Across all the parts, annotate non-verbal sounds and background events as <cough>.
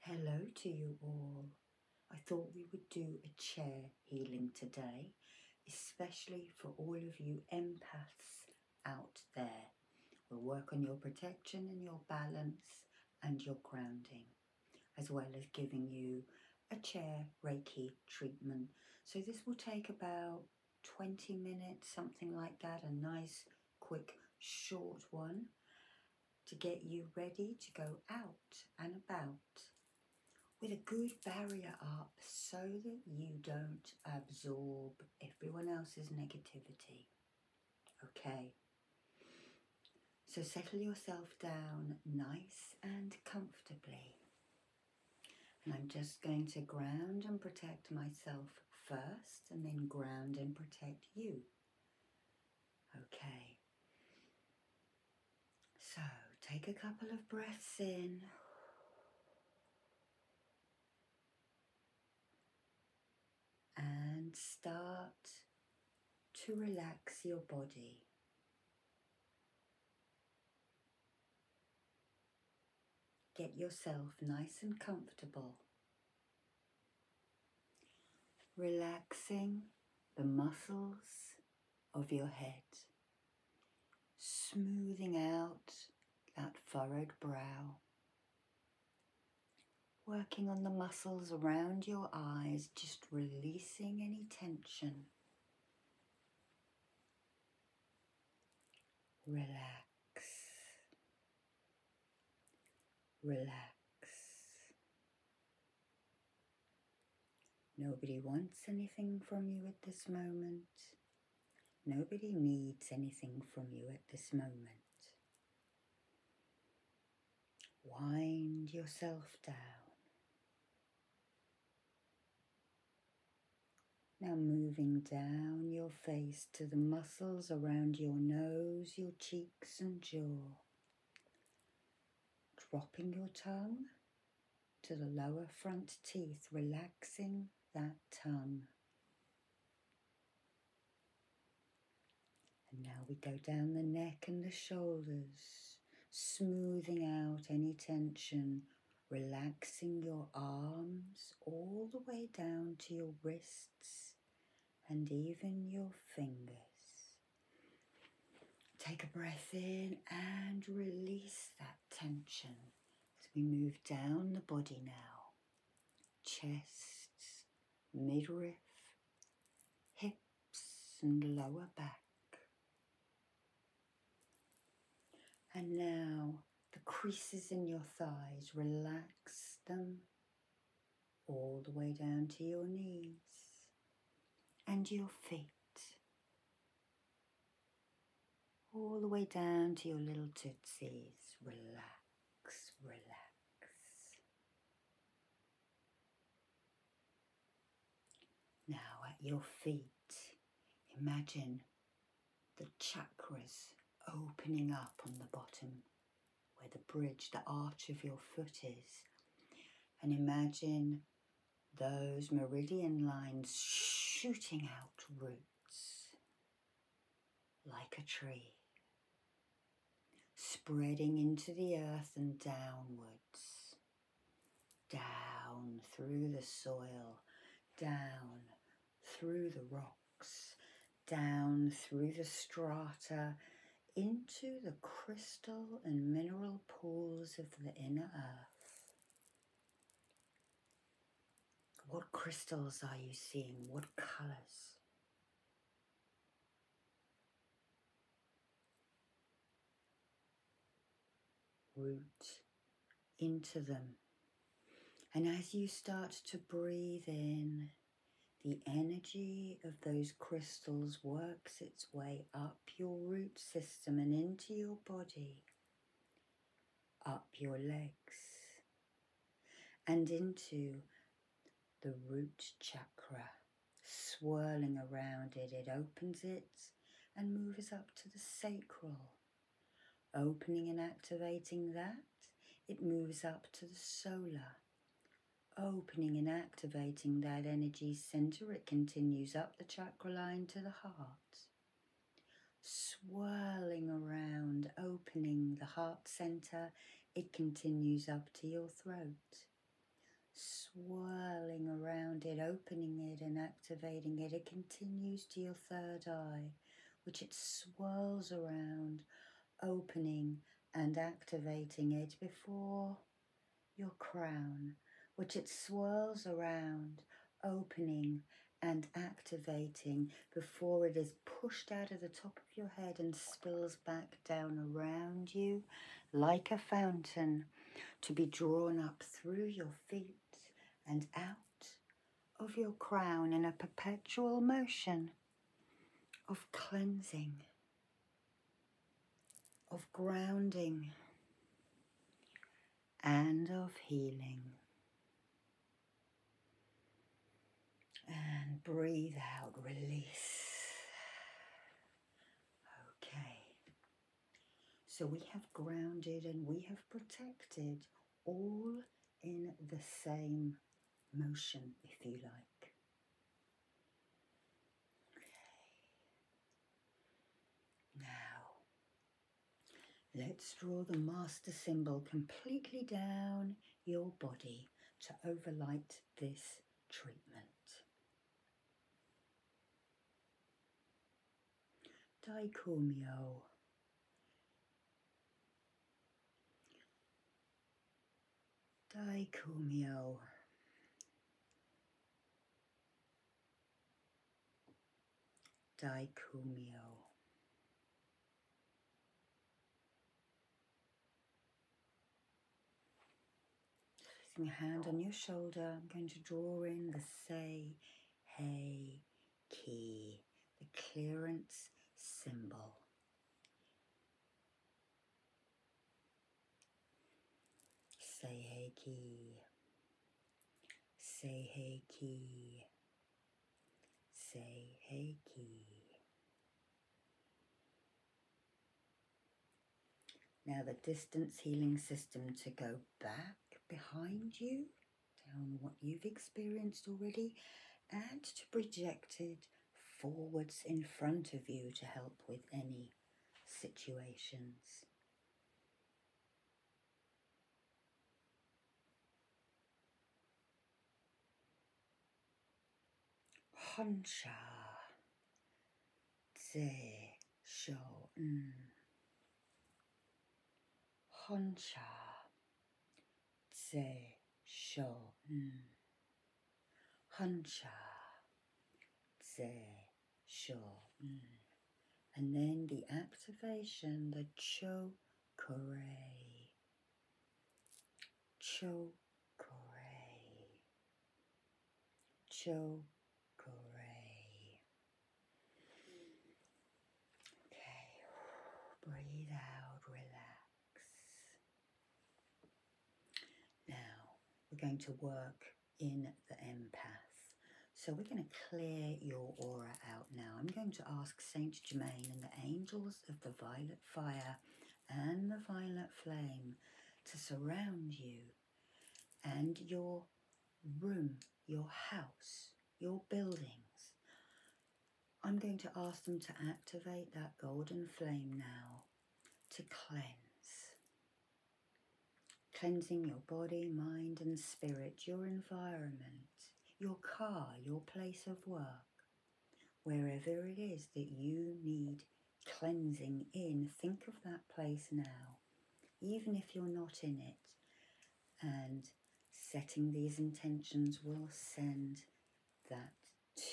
Hello to you all. I thought we would do a chair healing today, especially for all of you empaths out there. We'll work on your protection and your balance and your grounding, as well as giving you a chair Reiki treatment. So, this will take about 20 minutes, something like that, a nice, quick, short one to get you ready to go out and about with a good barrier up so that you don't absorb everyone else's negativity. Okay. So settle yourself down nice and comfortably. And I'm just going to ground and protect myself first and then ground and protect you. Okay. So take a couple of breaths in. And start to relax your body. Get yourself nice and comfortable relaxing the muscles of your head, smoothing out that furrowed brow, working on the muscles around your eyes, just releasing any tension. Relax. Relax. Nobody wants anything from you at this moment. Nobody needs anything from you at this moment. Wind yourself down. Now moving down your face to the muscles around your nose, your cheeks and jaw, dropping your tongue to the lower front teeth, relaxing that tongue. And now we go down the neck and the shoulders, smoothing out any tension, relaxing your arms all the way down to your wrists and even your fingers. Take a breath in and release that tension as we move down the body now. Chest, midriff, hips, and lower back. And now the creases in your thighs, relax them all the way down to your knees and your feet, all the way down to your little tootsies. Relax, relax. Now at your feet, imagine the chakras opening up on the bottom where the bridge, the arch of your foot is. And imagine those meridian lines shooting out roots like a tree, spreading into the earth and downwards, down through the soil, down through the rock down through the strata into the crystal and mineral pools of the inner earth. What crystals are you seeing? What colors? Root into them. And as you start to breathe in the energy of those crystals works its way up your root system and into your body, up your legs, and into the root chakra, swirling around it. It opens it and moves up to the sacral, opening and activating that. It moves up to the solar Opening and activating that energy center, it continues up the chakra line to the heart, swirling around, opening the heart center, it continues up to your throat swirling around it, opening it and activating it. It continues to your third eye, which it swirls around, opening and activating it before your crown, which it swirls around, opening and activating before it is pushed out of the top of your head and spills back down around you like a fountain to be drawn up through your feet and out of your crown in a perpetual motion of cleansing, of grounding, and of healing. And breathe out, release. Okay. So we have grounded and we have protected all in the same motion, if you like. Now, let's draw the master symbol completely down your body to overlight this treatment. Daikumyo. Dicomio. Dicomio. Putting your hand on your shoulder, I'm going to draw in the say, hey, key, the clearance symbol. Say hey key. Say hey key. Say hey key. Now the distance healing system to go back behind you, down what you've experienced already, and to project it forwards in front of you to help with any situations. Honsha Tse Honsha tse sho hm. huncha tse sho hm. and then the activation the cho kore cho kore cho kore okay <sighs> breathe out relax now, we're going to work in the empath. So we're going to clear your aura out now. I'm going to ask Saint Germain and the angels of the violet fire and the violet flame to surround you and your room, your house, your buildings. I'm going to ask them to activate that golden flame now to cleanse. Cleansing your body, mind, and spirit, your environment, your car, your place of work, wherever it is that you need cleansing in, think of that place now, even if you're not in it. And setting these intentions will send that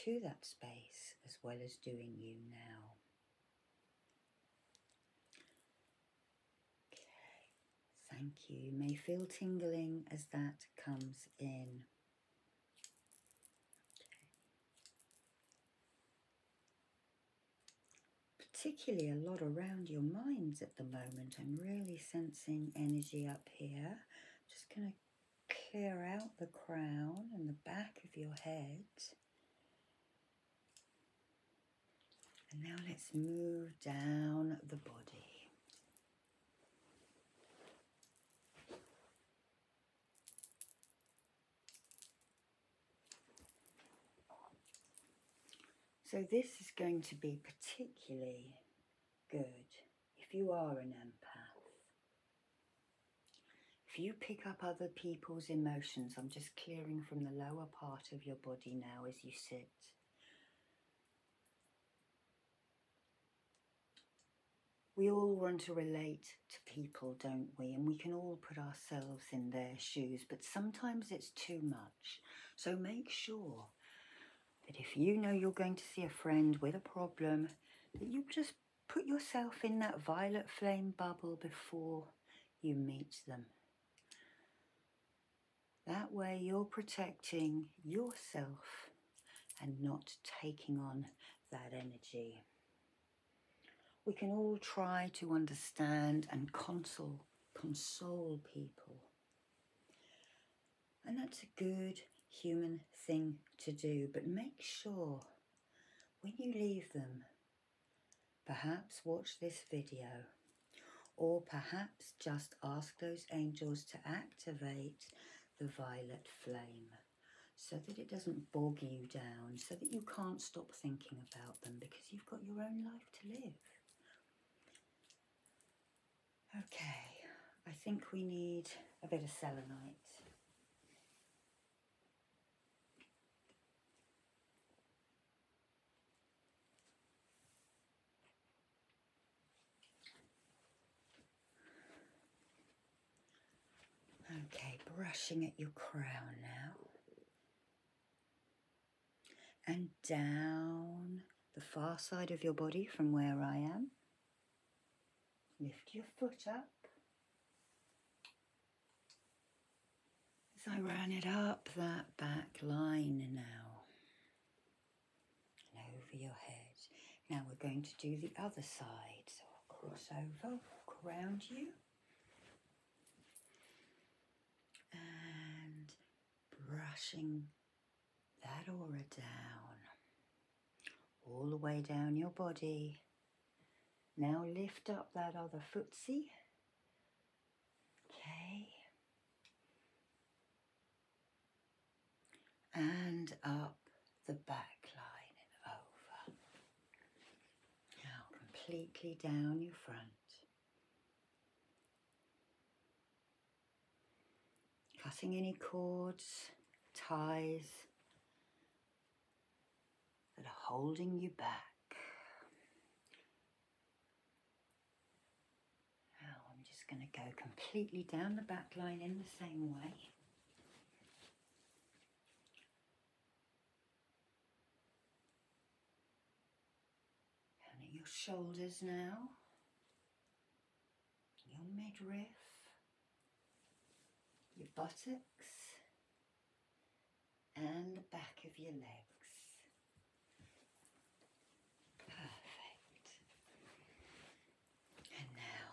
to that space as well as doing you now. Okay, thank you. You may feel tingling as that comes in. Particularly a lot around your minds at the moment. I'm really sensing energy up here. just going to clear out the crown and the back of your head. And now let's move down the body. So this is going to be particularly good if you are an empath. If you pick up other people's emotions, I'm just clearing from the lower part of your body now as you sit. We all want to relate to people, don't we? And we can all put ourselves in their shoes, but sometimes it's too much. So make sure that if you know you're going to see a friend with a problem, that you just put yourself in that violet flame bubble before you meet them. That way you're protecting yourself and not taking on that energy. We can all try to understand and console, console people. And that's a good human thing to do, but make sure when you leave them, perhaps watch this video, or perhaps just ask those angels to activate the violet flame so that it doesn't bog you down, so that you can't stop thinking about them because you've got your own life to live. Okay, I think we need a bit of selenite. Okay, brushing at your crown now. And down the far side of your body from where I am. Lift your foot up. As I ran it up that back line now over your head. Now we're going to do the other side. So I'll cross over, walk around you. And brushing that aura down all the way down your body. Now lift up that other footsie. Okay. And up the back line and over. Now completely down your front cutting any cords, ties that are holding you back. Now I'm just going to go completely down the back line in the same way. Down your shoulders now your midriff, your buttocks, and the back of your legs. Perfect. And now,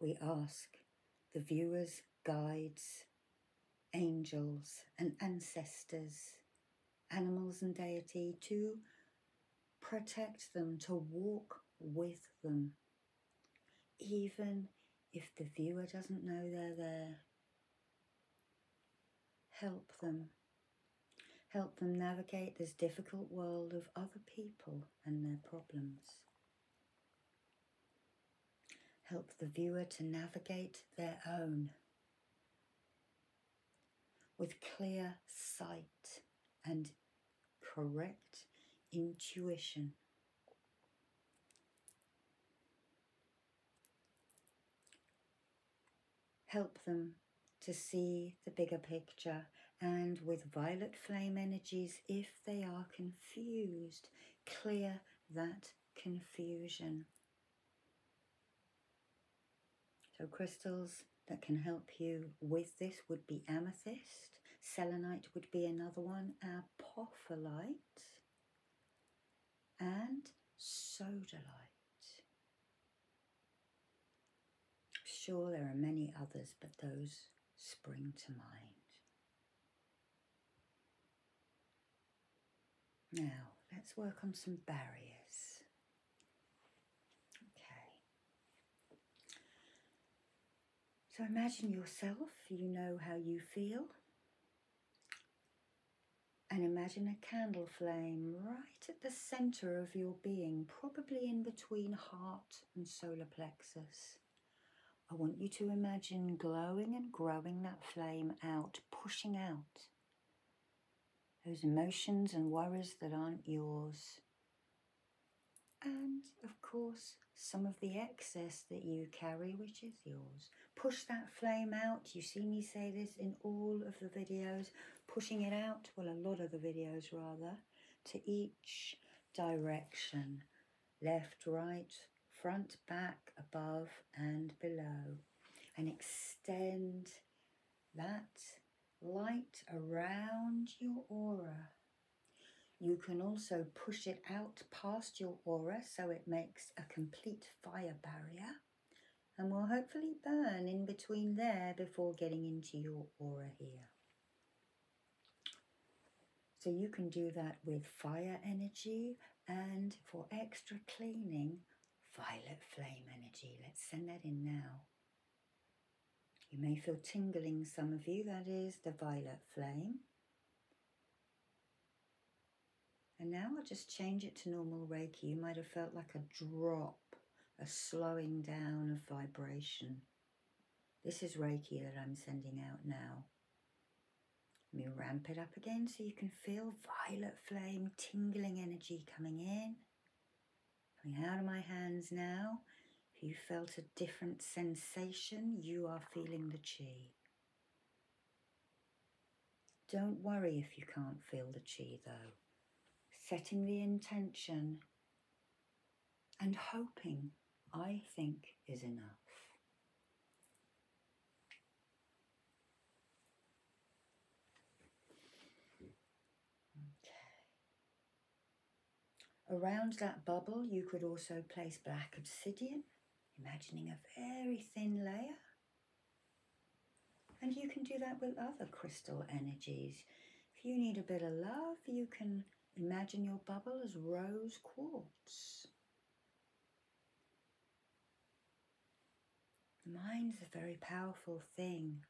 Okay. We ask the viewers, guides, angels, and ancestors, animals, and deity to protect them, to walk with them even if the viewer doesn't know they're there. Help them. Help them navigate this difficult world of other people and their problems. Help the viewer to navigate their own with clear sight and correct intuition. Help them to see the bigger picture and with violet flame energies, if they are confused, clear that confusion. So crystals that can help you with this would be amethyst, Selenite would be another one, apophyllite, and sodalite. Sure, there are many others, but those spring to mind. Now, let's work on some barriers. Okay. So imagine yourself, you know how you feel. And imagine a candle flame right at the center of your being, probably in between heart and solar plexus. I want you to imagine glowing and growing that flame out, pushing out those emotions and worries that aren't yours, and of course, some of the excess that you carry, which is yours. Push that flame out. You see me say this in all of the videos, pushing it out, well, a lot of the videos rather, to each direction left, right, front, back, above, and below. And extend that light around your aura you can also push it out past your aura so it makes a complete fire barrier and will hopefully burn in between there before getting into your aura here. So you can do that with fire energy and for extra cleaning, violet flame energy. Let's send that in now. You may feel tingling, some of you, that is the violet flame. And now I'll just change it to normal Reiki. You might have felt like a drop, a slowing down of vibration. This is Reiki that I'm sending out now. Let me ramp it up again so you can feel violet flame, tingling energy coming in, coming out of my hands now you felt a different sensation, you are feeling the chi. Don't worry if you can't feel the chi though. Setting the intention and hoping, I think, is enough. Okay. Around that bubble, you could also place black obsidian, imagining a very thin layer. And you can do that with other crystal energies. If you need a bit of love, you can imagine your bubble as rose quartz. The mind's a very powerful thing.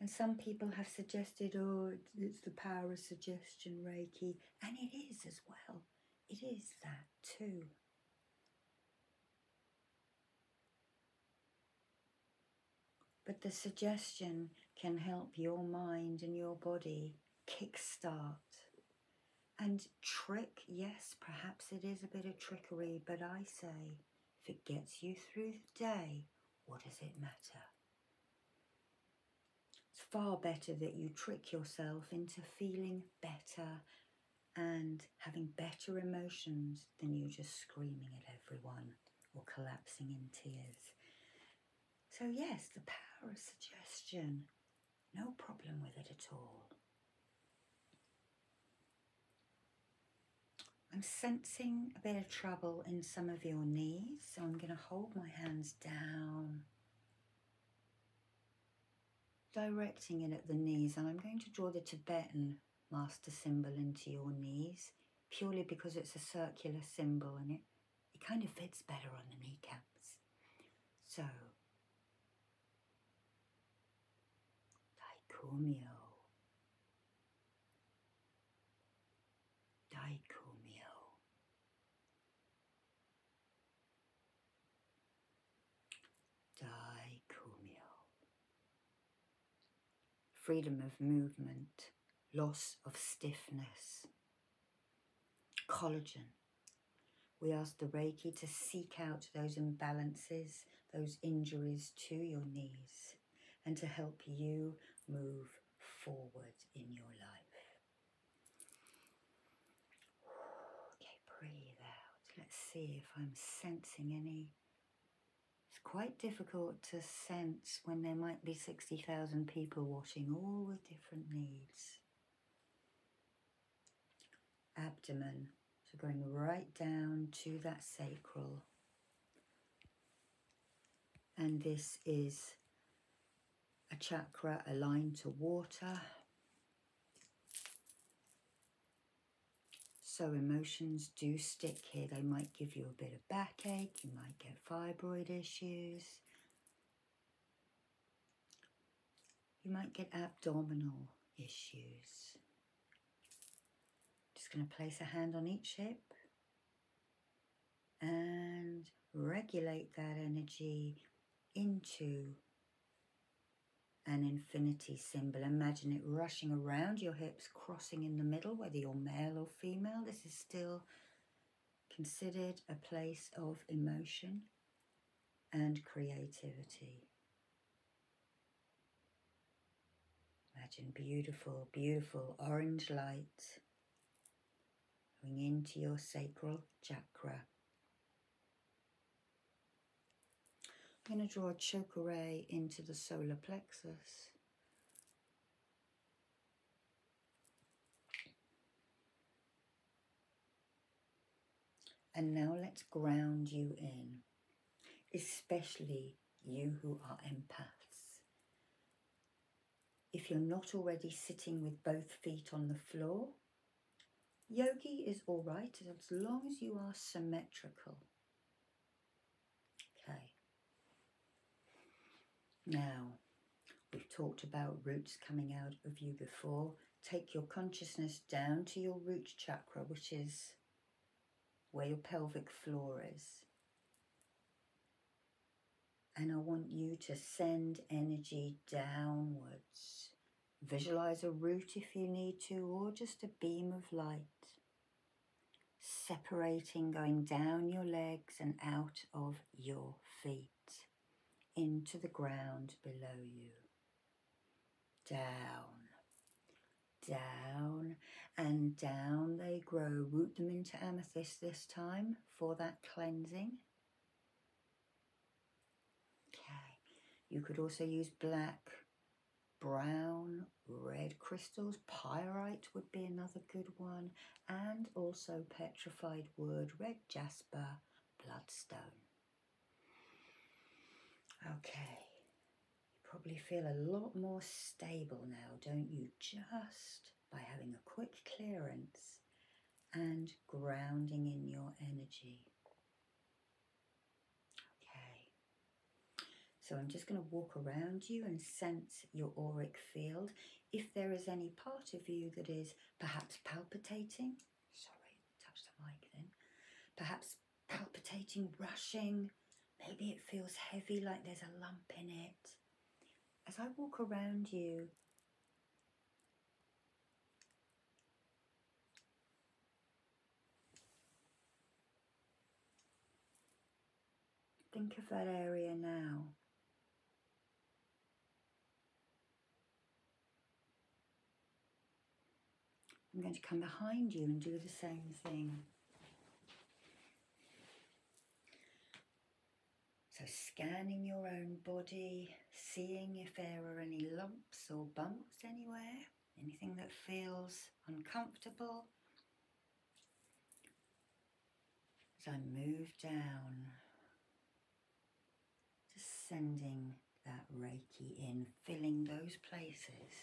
And some people have suggested, oh, it's the power of suggestion, Reiki. And it is as well. It is that too. But the suggestion can help your mind and your body kickstart and trick, yes, perhaps it is a bit of trickery, but I say if it gets you through the day, what does it matter? It's far better that you trick yourself into feeling better and having better emotions than you just screaming at everyone or collapsing in tears. So, yes, the power of suggestion, no problem with it at all. I'm sensing a bit of trouble in some of your knees, so I'm going to hold my hands down, directing it at the knees, and I'm going to draw the Tibetan master symbol into your knees purely because it's a circular symbol and it, it kind of fits better on the kneecaps. So, Taikumyo. Dicomio. Dicomio. Freedom of movement, loss of stiffness. Collagen. We ask the Reiki to seek out those imbalances, those injuries to your knees, and to help you move forward in your life. Okay, breathe out. Let's see if I'm sensing any. It's quite difficult to sense when there might be 60,000 people watching all with different needs. Abdomen, so going right down to that sacral and this is a chakra aligned to water. So emotions do stick here. They might give you a bit of backache, you might get fibroid issues, you might get abdominal issues. Just going to place a hand on each hip and regulate that energy into an infinity symbol. Imagine it rushing around your hips, crossing in the middle, whether you're male or female. This is still considered a place of emotion and creativity. Imagine beautiful, beautiful orange light going into your sacral chakra. I'm going to draw a chakra ray into the solar plexus. And now let's ground you in, especially you who are empaths if you're not already sitting with both feet on the floor. Yogi is all right as long as you are symmetrical. Okay. Now, we've talked about roots coming out of you before. Take your consciousness down to your root chakra, which is where your pelvic floor is. And I want you to send energy downwards. Visualize a root if you need to, or just a beam of light. Separating, going down your legs and out of your feet into the ground below you. Down, down, and down they grow. Root them into amethyst this time for that cleansing. Okay, you could also use black, brown, red crystals. Pyrite would be another good one, and also petrified wood, red jasper, bloodstone. Okay, you probably feel a lot more stable now, don't you? Just by having a quick clearance and grounding in your energy. Okay, so I'm just going to walk around you and sense your auric field. If there is any part of you that is perhaps palpitating, sorry, touched the mic then, perhaps palpitating, rushing, maybe it feels heavy like there's a lump in it as I walk around you, think of that area now. I'm going to come behind you and do the same thing. So, scanning your own body, seeing if there are any lumps or bumps anywhere, anything that feels uncomfortable. As I move down, just sending that Reiki in, filling those places.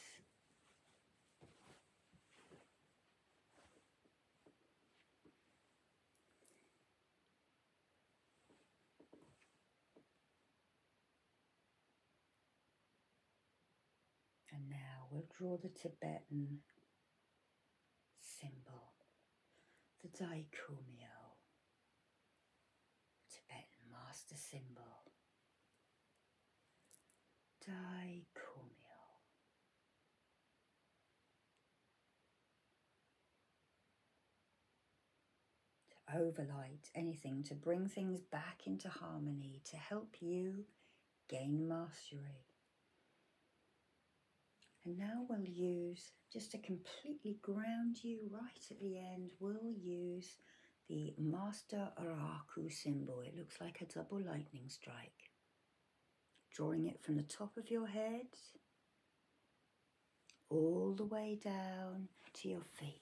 And now we'll draw the Tibetan symbol, the Daikumyo, Tibetan master symbol. Daikumyo. To overlight anything, to bring things back into harmony, to help you gain mastery. And now we'll use, just to completely ground you right at the end, we'll use the Master Araku symbol. It looks like a double lightning strike drawing it from the top of your head all the way down to your feet.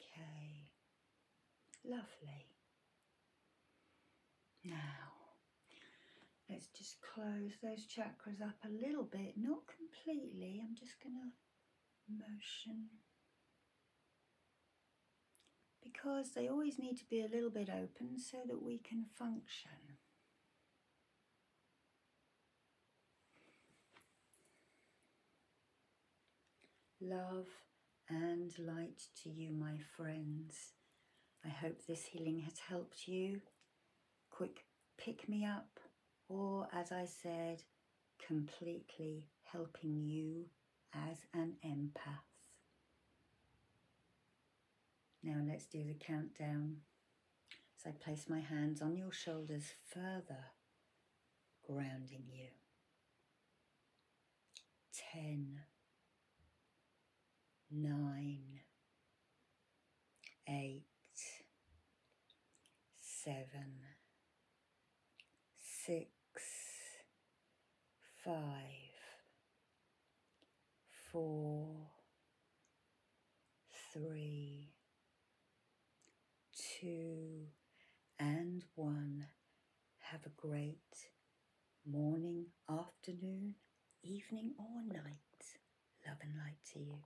Okay, lovely. Now, let's just close those chakras up a little bit, not completely, I'm just going to motion because they always need to be a little bit open so that we can function. Love and light to you, my friends. I hope this healing has helped you. Quick pick me up, or as I said, completely helping you as an empath. Now let's do the countdown. So I place my hands on your shoulders further, grounding you. Ten, 8, seven, six, five, four, three, two, and one. Have a great morning, afternoon, evening, or night. Love and light to you.